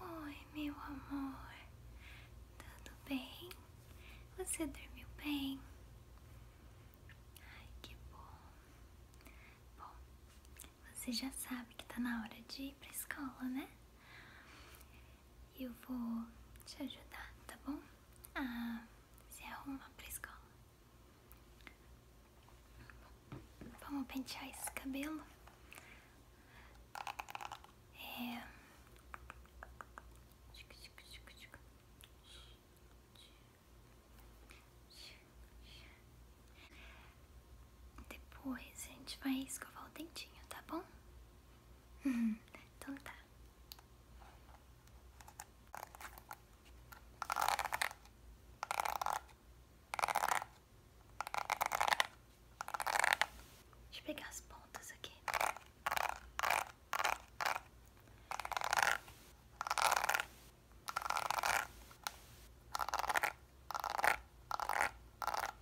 Oi, meu amor, tudo bem? Você dormiu bem? Ai, que bom. Bom, você já sabe que está na hora de ir pra escola, né? E eu vou te ajudar, tá bom? A ah, se arrumar pra escola. Vamos pentear esse cabelo. É... Depois a gente vai escovar o dentinho, tá bom? então tá. Deixa eu pegar as pontas aqui.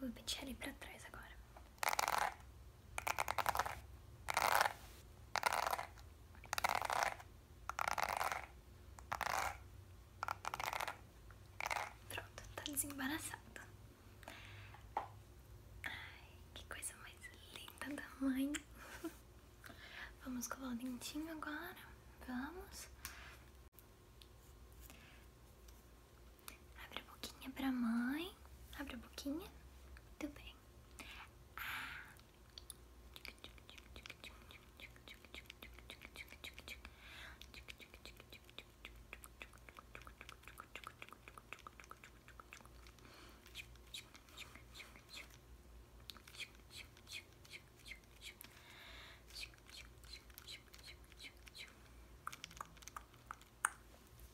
Vou pentear ele pra trás agora. Pronto, tá desembaraçado. Ai, que coisa mais linda da mãe. Vamos colar o dentinho agora. Vamos. Abre a boquinha pra mãe. Abre a boquinha. tudo bem. Ah. Muito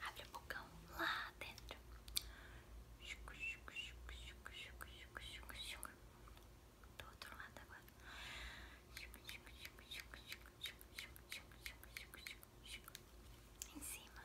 Abre a bocão lá dentro. Do outro lado agora. Em cima.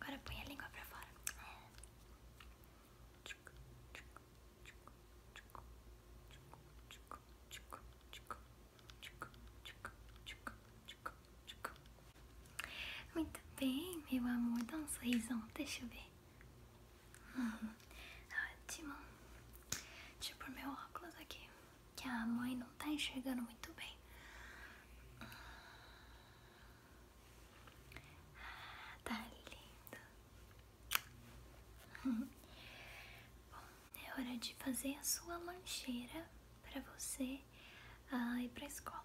Agora põe a língua pra fora. Muito bem, meu amor. Dá um sorrisão. Deixa eu ver. Hum, ótimo. Deixa eu meu óculos aqui que a mãe não tá enxergando muito bem. Ah, tá lindo. Bom, é hora de fazer a sua lancheira para você ah, ir pra escola.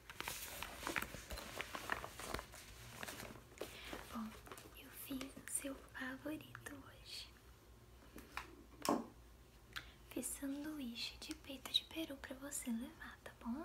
Bom, eu fiz o seu favorito hoje. Fiz sanduíche de peito de peru pra você levar, tá bom?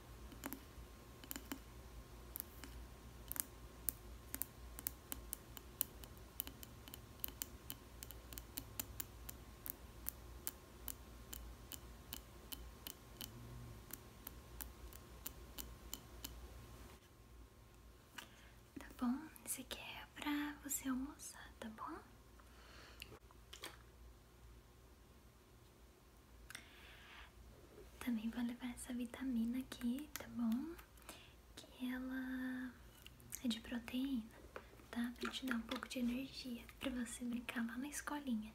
Tá bom? Esse aqui é pra você almoçar, tá bom? Também vou levar essa vitamina aqui, tá bom? Que ela é de proteína, tá? Pra te dar um pouco de energia, pra você brincar lá na escolinha.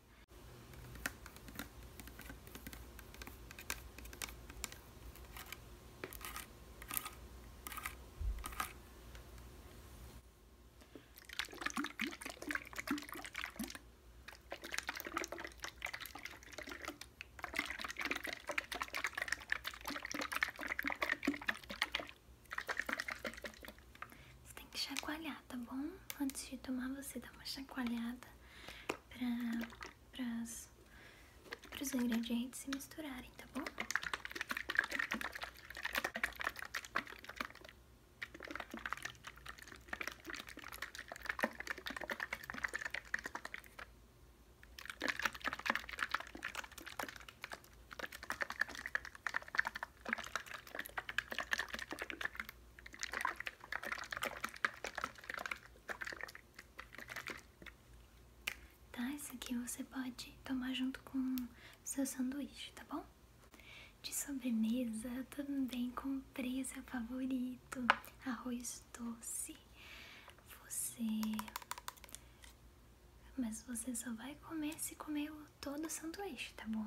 Você tem que chacoalhar, tá bom? Antes de tomar, você dá uma chacoalhada para os ingredientes se misturarem, tá bom? Tá, esse aqui você pode tomar junto com seu sanduíche, tá bom? De sobremesa também comprei é o seu favorito, arroz doce. Você. Mas você só vai comer se comer o todo o sanduíche, tá bom?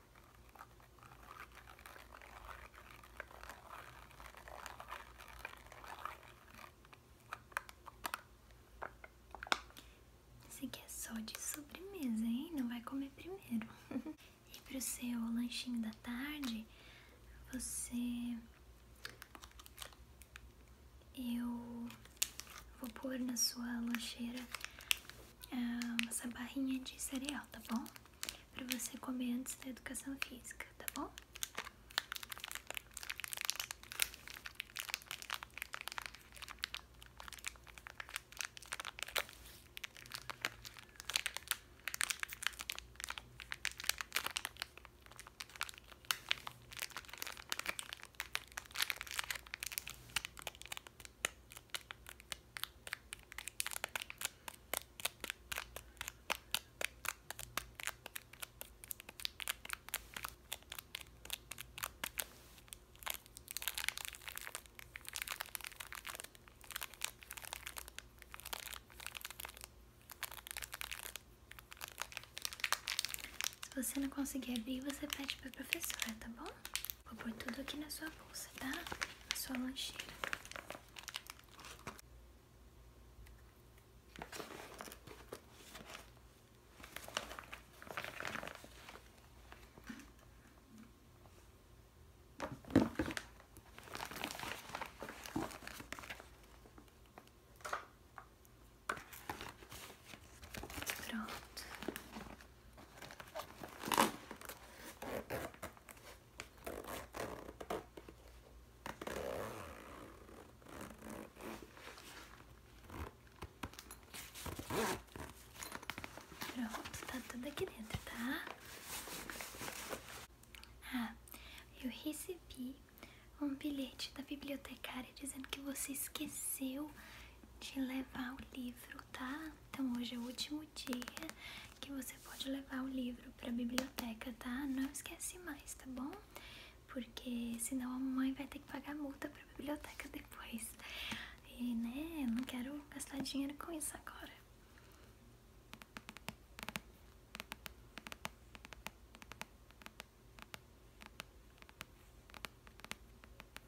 Esse aqui é só de sobremesa, hein? Não vai comer primeiro. e pro seu lanchinho da tarde, você. Eu vou pôr na sua lancheira ah, essa barrinha de cereal, tá bom? para você comer antes da educação física, tá bom? Se você não conseguir abrir, você pede para a professora, tá bom? Vou pôr tudo aqui na sua bolsa, tá? Na sua lancheira. Pronto. Pronto, tá tudo aqui dentro, tá? Ah, eu recebi um bilhete da bibliotecária dizendo que você esqueceu de levar o livro tá? Então hoje é o último dia que você pode levar o livro para a biblioteca, tá? Não esquece mais, tá bom? Porque senão a mamãe vai ter que pagar multa para a biblioteca depois. E né, eu não quero gastar dinheiro com isso agora.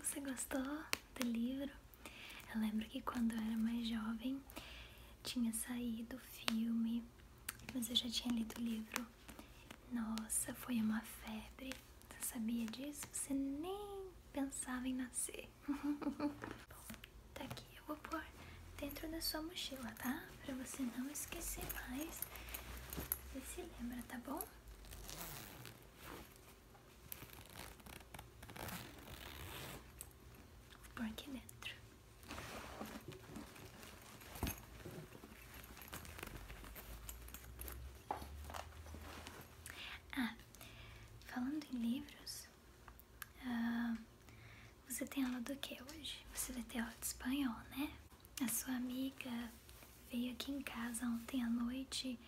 Você gostou do livro? Eu lembro que quando eu era mais jovem tinha saído o filme, mas eu já tinha lido o livro nossa, foi uma febre. Você sabia disso? Você nem pensava em nascer. tá aqui. Eu vou pôr dentro da sua mochila, tá? Pra você não esquecer mais. Você se lembra, tá bom? Vou pôr aqui dentro. Ah, falando em livros, ah, você tem aula do que hoje? Você vai ter aula de espanhol, né? A sua amiga veio aqui em casa ontem à noite.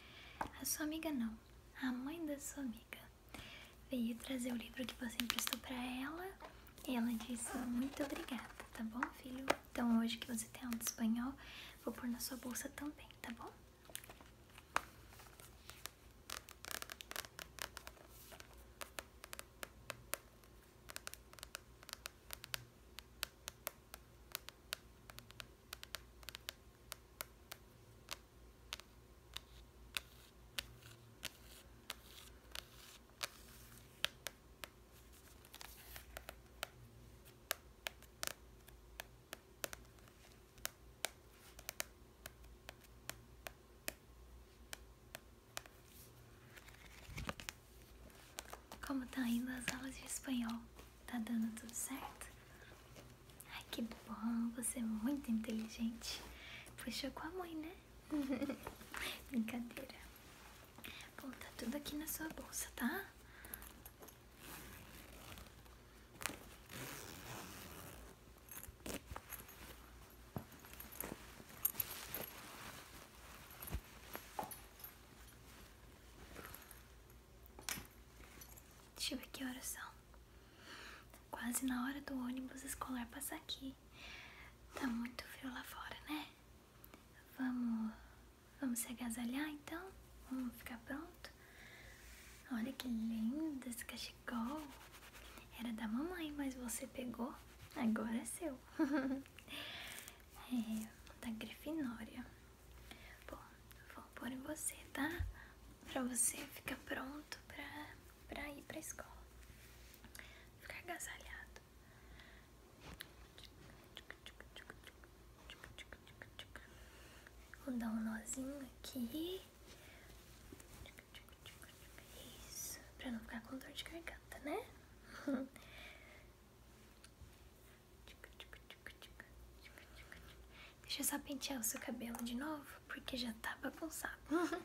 A sua amiga não, a mãe da sua amiga veio trazer o livro que você emprestou para ela. E ela disse muito obrigada, tá bom, filho? Então, hoje que você tem um espanhol, vou pôr na sua bolsa também, tá bom? Como tá indo as aulas de espanhol? Tá dando tudo certo? Ai, que bom, você é muito inteligente. Puxou com a mãe, né? Brincadeira. Bom, tá tudo aqui na sua bolsa, tá? Deixa eu ver que horas são. Quase na hora do ônibus escolar passar aqui. Tá muito frio lá fora, né? Vamos, vamos se agasalhar então? Vamos ficar pronto? Olha que lindo esse cachecol. Era da mamãe, mas você pegou. Agora é seu. é, da Grifinória. Bom, vou pôr em você, tá? Pra você ficar pronto pra, pra ir pra escola ficar agasalhado. Vou dar um nozinho aqui. Isso, pra não ficar com dor de garganta, né? Deixa eu só pentear o seu cabelo de novo, porque já tá bagunçado.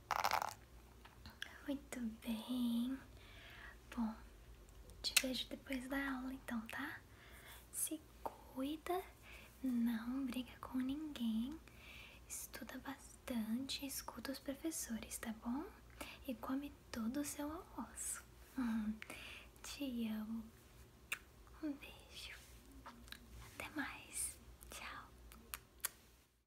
Muito bem. Bom, te vejo depois da aula então, tá? Se cuida, não briga com ninguém, estuda bastante, escuta os professores, tá bom? E come todo o seu almoço. Hum, te amo. Um beijo. Até mais. tchau